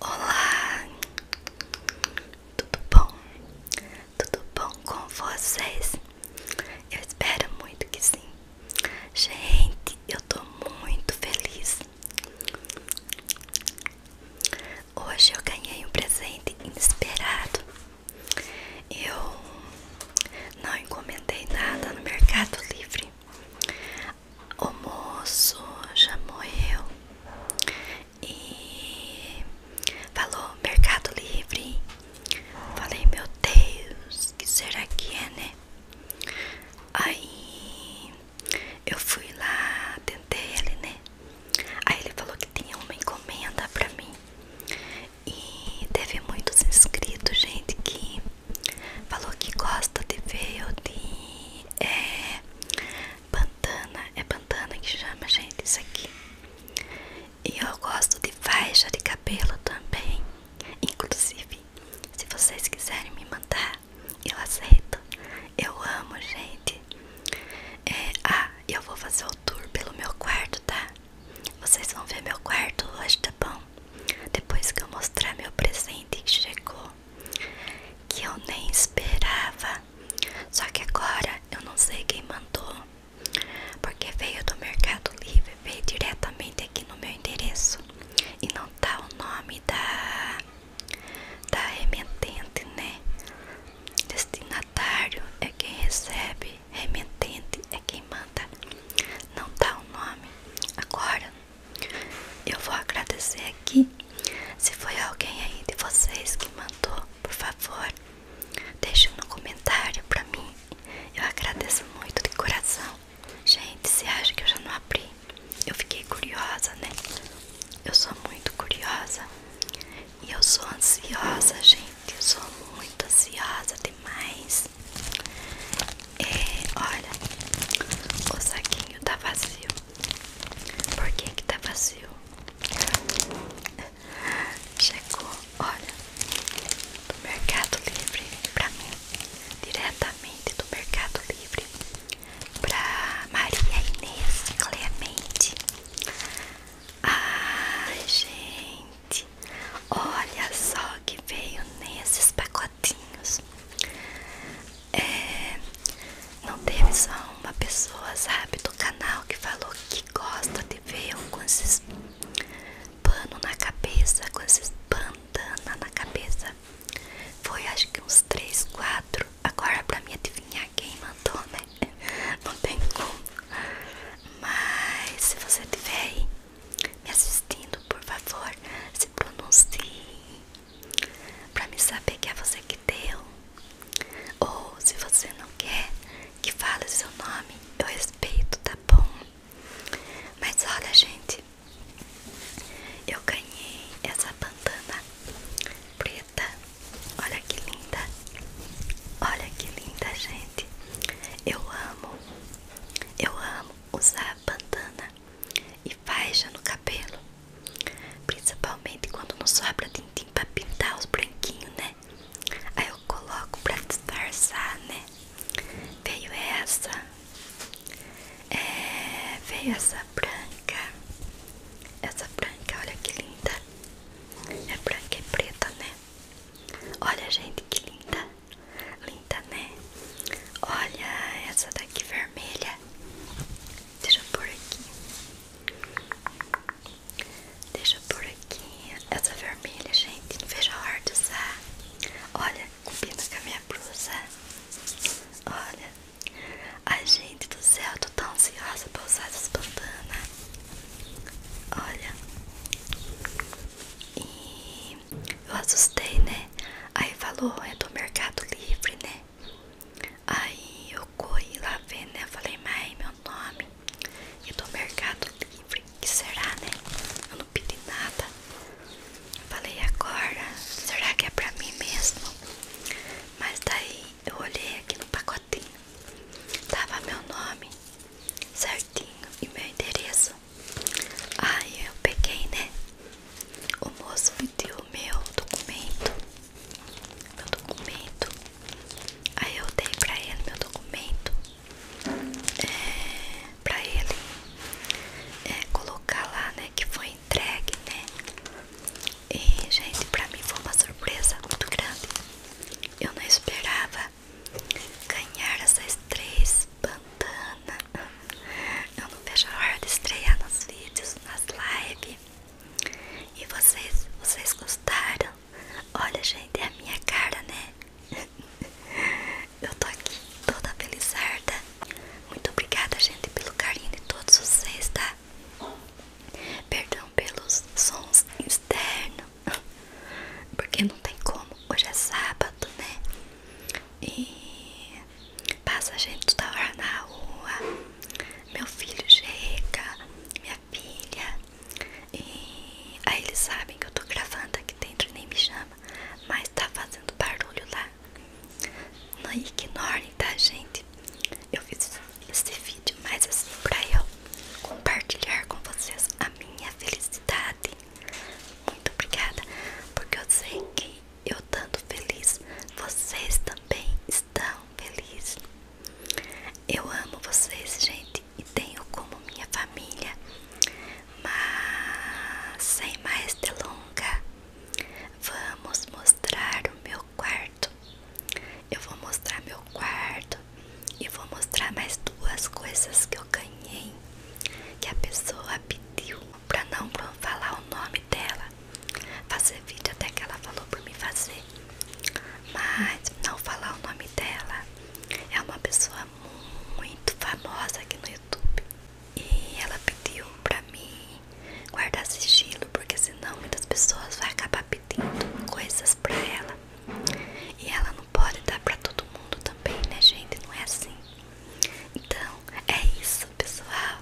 Olá, tudo bom? Tudo bom com vocês? Eu espero muito que sim. Gente, eu tô muito feliz. Hoje eu ganhei um presente inesperado. Eu não encomendei nada no Mercado Livre o moço chamou eu e falou Mercado Livre. Falei, meu Deus, que será que é, né? Aí eu fui lá, tentei ele, né? Aí ele falou que tinha uma encomenda pra mim. E teve muitos inscritos, gente, que falou que gosta de ver eu de é, Pantana, é pantana que chama, gente, isso aqui. E eu gosto de faixa de cabelo também. Inclusive, se vocês quiserem me mandar, eu aceito. Eu amo, gente. É, ah, eu vou fazer o tour pelo meu quarto, tá? Vocês vão ver meu quarto hoje, tá bom? Depois que eu mostrar meu presente que chegou que eu nem esperava. Só que agora eu não sei quem mandou, porque veio do Mercado Livre, veio diretamente aqui no meu endereço e não tá o nome da da remetente, né? Destinatário é quem recebe, remetente é quem manda. Não tá o nome. Agora eu vou agradecer aqui. Se foi alguém aí de vocês que mandou, por favor, deixe no comentário pra mim. Eu agradeço muito de coração. Gente, se acha que eu já não abri? Eu fiquei curiosa, né? Eu sou muito curiosa. E eu sou ansiosa, gente. Eu sou muito ansiosa demais. É, olha, o saquinho tá vazio. Por que que tá vazio? Chegou, olha, do Mercado Livre para mim, diretamente do Mercado Livre para Maria Inês Clemente. Ai, gente, olha só que veio nesses pacotinhos. É, não teve só uma pessoa, sabe, do canal que falou que gosta de ver eu com esses pano na cabeça, com esses bandana na cabeça. Foi acho que uns três, quatro. Agora pra mim adivinhar quem mandou, né? Não tem como. Mas se você estiver aí me assistindo, por favor, se pronuncie para me saber que é você que deu. Ou se você não quer que fale seu nome, eu respeito, tá bom? Mas olha, gente, eu ganhei essa bandana preta. Olha que linda. Olha que linda, gente. Eu amo. Eu amo usar bandana e faixa no cabelo. Principalmente quando não sobra tintim pra pintar os branquinhos, né? Aí eu coloco pra disfarçar, né? Veio essa. É, veio essa branca. Essa branca, olha que linda. É branca e preta, né? Olha, gente, que linda. Linda, né? Olha essa daqui vermelha. Deixa por aqui. Deixa por aqui. Essa vermelha, gente, não vejo a hora de usar. Olha, combina com a minha blusa. Olha. Ai, gente do céu, tô tão ansiosa pra usar essas pantanas. Olha. E eu assustei, né? Aí falou, é do Mercado Livre, né? Aí eu corri lá ver, né? Eu falei, mãe, meu nome e é do Mercado Livre, que será, né? Eu não pedi nada. falei, agora, será que é pra mim mesmo? Mas daí eu olhei aqui no pacotinho, tava meu nome certinho e meu endereço. Aí eu peguei, né? O moço pediu o meu documento meu documento. Aí eu dei pra ele meu documento é, pra ele é, colocar lá, né? Que foi entregue, né? E, gente, pra mim foi uma surpresa muito grande. Eu não esperava ganhar essas três bandanas. Eu não vejo a hora de estrear nos vídeos, nas lives. E vocês, vocês gostaram? Olha, gente, é a minha cara, né? Eu tô aqui toda felizarda. Muito obrigada, gente, pelo carinho de todos vocês, tá? Perdão pelos sons externos, porque não tem como. Hoje é sábado, né? E Passa gente toda hora na rua. Meu filho chega, minha filha. E aí eles sabem que eu tô gravando aqui dentro e nem me chama. Mas tá fazendo barulho lá. Não ignorem, tá, gente? Eu fiz esse vídeo mais assim pra eu compartilhar com vocês a minha felicidade. Muito obrigada, porque eu sei que eu estando feliz, vocês também estão felizes. Eu amo vocês, gente, e tenho como minha família. Mas sem mais delonga, vamos mostrar o meu quarto. Eu vou mostrar meu quarto e vou mostrar mais duas coisas que eu ganhei que a pessoa pediu para não falar o nome dela fazer vídeo até que ela falou por me fazer. Mas não falar o nome dela. É uma pessoa muito famosa aqui no YouTube. E ela pediu pra mim guardar esse sigilo, porque senão muitas pessoas vão acabar pedindo coisas pra ela. E ela não pode dar pra todo mundo também, né, gente? Não é assim. Então, é isso, pessoal.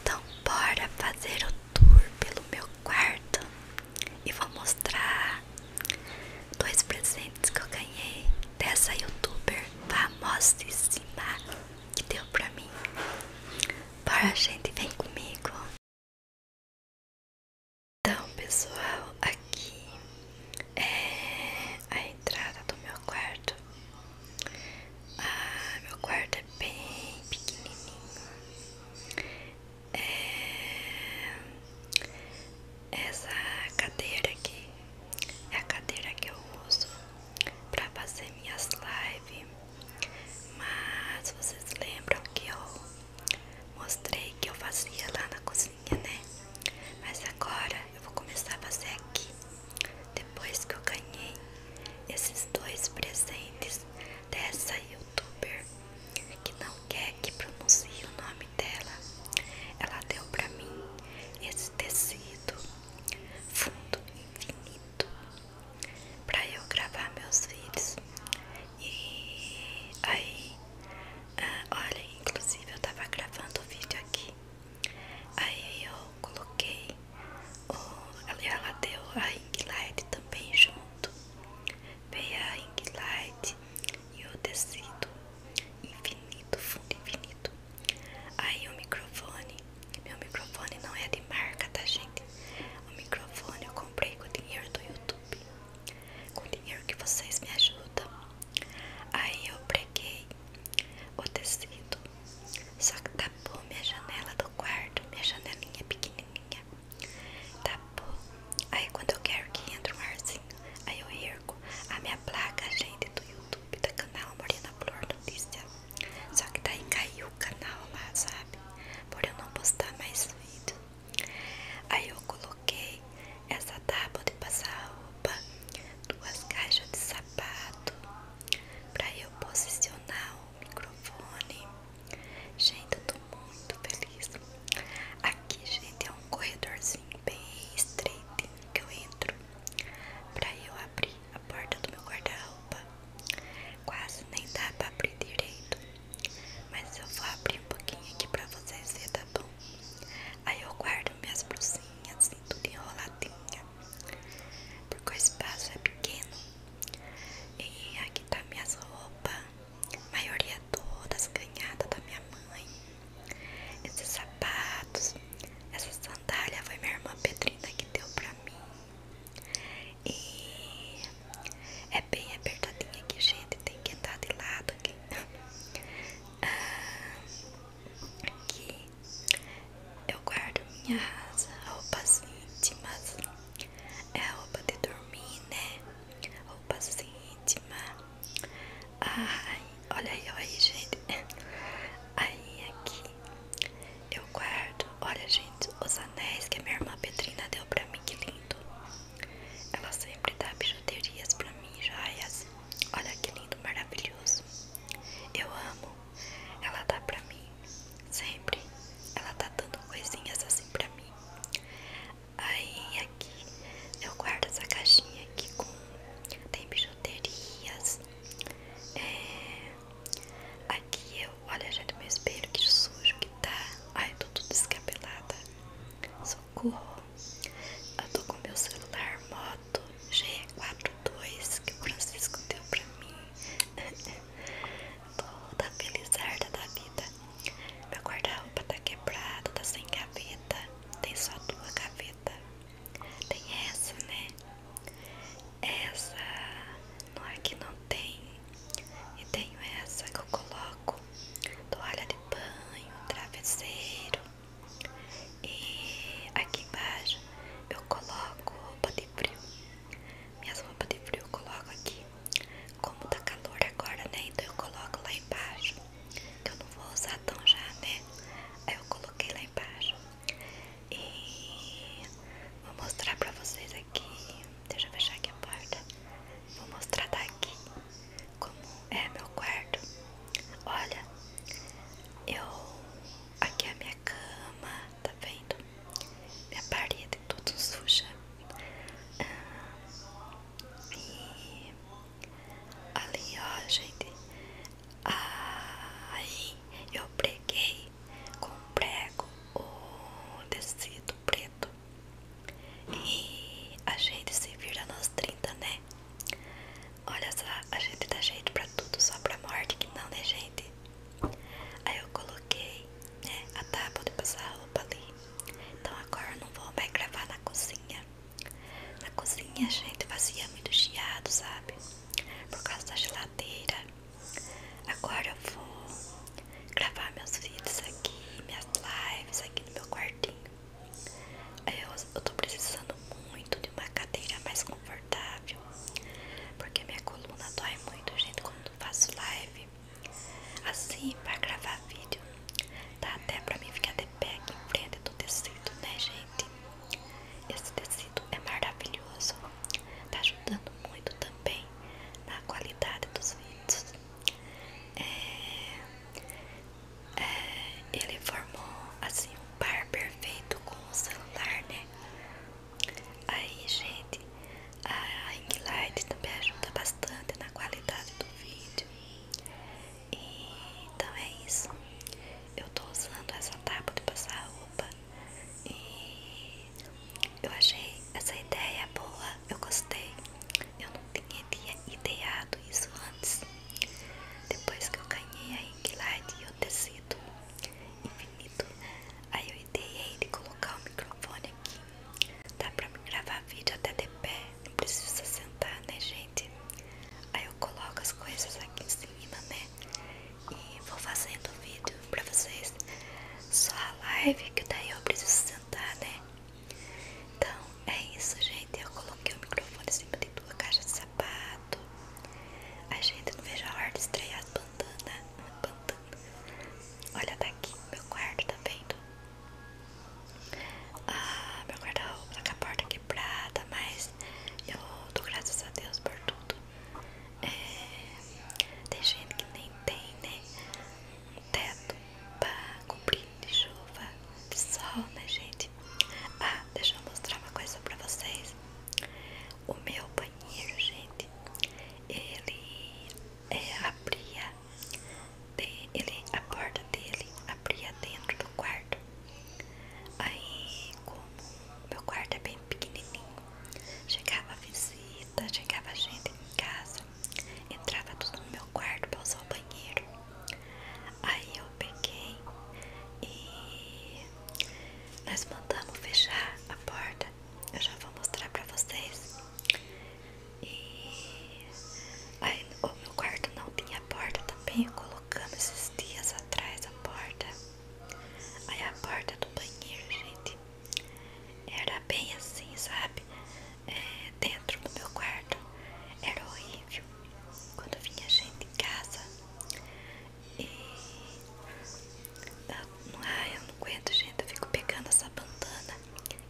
Então, bora fazer o tour pelo meu quarto e vou mostrar dois presentes que eu ganhei dessa youtuber famosa cima que deu pra mim. Bora, gente, vem comigo. Então, pessoal, aqui é a entrada do meu quarto. Ah, meu quarto é bem pequenininho. É... Essa cadeira aqui é a cadeira que eu uso para fazer minhas lives. Mas vocês lembram que eu mostrei que eu fazia lá na cozinha, né? Mas agora eu vou começar a fazer aqui. Depois que eu ganhei esses dois presentes dessa youtuber que não quer que pronuncie o nome dela, ela deu pra mim esse tecido fundo infinito pra eu gravar meus vídeos. E aí, ah, olha, inclusive eu tava gravando o vídeo aqui. Aí eu coloquei Oh, ela deu a ring light também junto. Veio a ring light e o tecido infinito, fundo infinito. Aí o microfone, meu microfone não é de marca, tá gente? O microfone eu comprei com o dinheiro do YouTube, com o dinheiro que vocês me ajudam. Aí eu preguei o tecido, só que tapou minha janela do quarto, minha janelinha pequenininha. Tá bom. Aí quando eu quero que entre um arzinho, aí eu ergo a minha placa, gente, do YouTube, da canal Morena Flor Notícia. Só que daí caiu o canal lá, sabe? Por eu não postar mais vídeo. Aí eu coloquei essa tábua de passar roupa, duas caixas de sapato, pra eu posicionar o microfone. Gente, eu tô muito feliz. Aqui, gente, é um corredorzinho bem estreito que eu entro pra eu abrir a porta do meu guarda-roupa. Quase nem dá pra abrir direito, mas eu vou abrir um pouquinho aqui pra vocês verem, tá bom? Aí eu guardo minhas blusinhas, assim, tudo enroladinha, porque o espaço é pequeno e aqui tá minhas roupas, maioria todas ganhadas da minha mãe. Esses sapatos, essa sandália foi minha irmã Petrina que deu pra mim. E é bem apertadinha aqui, gente. Tem que entrar de lado aqui. Ah, aqui eu guardo minhas roupas íntimas é roupa de dormir, né? Roupa íntima. Ai, olha aí olha aí, gente. Aí aqui eu guardo. Olha, gente, os anéis que a minha irmã Petrina deu pra mim, que lindo. Ela sempre dá bijuterias pra mim, joias. Olha que lindo, maravilhoso. Eu amo. Ela dá pra mim, sempre. Ela tá dando coisinhas assim pra mim. Aí aqui eu guardo essa caixinha aqui com. Tem bijuterias. É, aqui eu. Olha, já gente, meu espelho, que sujo que tá. Ai, tô tudo descabelada. Socorro. Eu tô com meu celular moto G42 que o Francisco deu pra mim. toda felizarda da vida. Meu guarda-roupa tá quebrado, tá sem gaveta. Tem só tua gaveta Tem essa, né? Essa não é que não tem. E tenho essa que eu coloco toalha de banho, travesseiro. E aqui embaixo eu coloco roupa de frio. Minhas roupas de frio eu coloco aqui. Como tá calor agora, né? Então eu coloco lá embaixo. Que eu não vou usar tão já, né? Aí eu coloquei lá embaixo. E vou mostrar pra vocês aqui. Deixa eu fechar aqui a porta. Vou mostrar daqui como é meu quarto. Olha, eu. Aqui é a minha cama, tá vendo? Minha parede toda suja. Ah, e ali ó, gente. Aí eu preguei com prego o tecido preto. E a gente se vira nos 30, né? Olha só, a gente dá gente pra tudo, só pra morte que não, né, gente? Aí eu coloquei, né, a tábua de passar a roupa ali. Então agora eu não vou mais gravar na cozinha. Na cozinha, gente, fazia muito chiado, sabe? Por causa da geladeira. Agora eu vou gravar meus vídeos aqui, minhas lives aqui no meu quartinho. Eu, eu tô precisando muito de uma cadeira mais confortável. Porque minha coluna dói muito, gente, quando faço live. Assim, para gravar vídeo, dá até para mim ficar de pé aqui em frente do tecido, né, gente? Esse tecido é maravilhoso, tá ajudando muito também na qualidade dos vídeos. É, é, ele formou assim um par perfeito com o celular, né? Aí, gente, a ring light também ajuda bastante na qualidade do vídeo. E, então é isso. Eu tô usando essa tábua de passar roupa e eu achei essa ideia boa, eu gostei. Eu não tinha, tinha ideado isso antes. Depois que eu ganhei a ring light e o tecido infinito, Aí eu ideei de colocar o microfone aqui. Dá pra me gravar vídeo até de pé. Não precisa sentar, né, gente? Aí eu coloco as coisas aqui em cima, né? E vou fazendo o vídeo pra vocês. Só a live que daí eu preciso sentar, né? Então é isso, gente. Eu coloquei o microfone em cima de duas caixa de sapato. A gente não veja a hora de estrear as bandanas. Bandana. Olha daqui, tá meu quarto, tá vendo? Ah, meu guarda-roupa tá com a porta quebrada, mas eu dou graças a Deus por tudo. É, tem gente que nem tem, né? Um teto pra cobrir de chuva, de sol, né, gente? Ah, deixa eu mostrar uma coisa pra vocês. O meu banheiro, gente, ele é, abria ele, a porta dele, abria dentro do quarto. Aí, como meu quarto é bem pequenininho, chegava visita, chegava gente em casa, entrava tudo no meu quarto para usar o banheiro. Aí eu peguei e nós mandamos fechar a porta. Eu já vou mostrar para vocês e aí, o meu quarto não tinha porta também, colocando esses dias atrás a porta. Aí a porta do banheiro, gente, era bem assim, sabe? É, dentro do meu quarto era horrível. Quando vinha gente em casa e Tá, ai, eu não aguento, gente. Eu fico pegando essa bandana,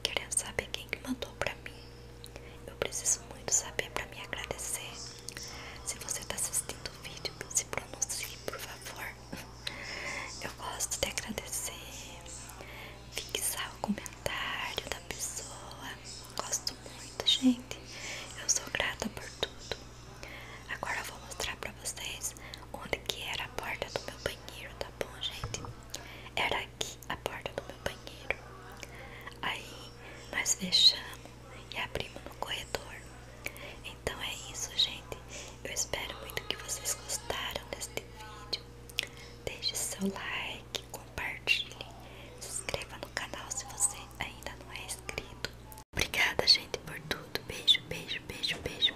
querendo saber quem que mandou pra mim. Eu preciso muito saber pra me agradecer. Se você tá assistindo o vídeo, se pronuncie, por favor. Eu gosto de agradecer, fixar o comentário da pessoa. Gosto muito, gente. Eu sou grata por tudo. Agora eu vou mostrar pra vocês onde que era a porta do meu banheiro banheiro, tá bom, gente? Era aqui a porta do meu banheiro. Aí nós fechamos e abrimos no corredor. Então é isso, gente. Eu espero muito que vocês gostaram deste vídeo. Deixe seu like, compartilhe, se inscreva no canal se você ainda não é inscrito. Obrigada, gente, por tudo. Beijo, beijo, beijo, beijo.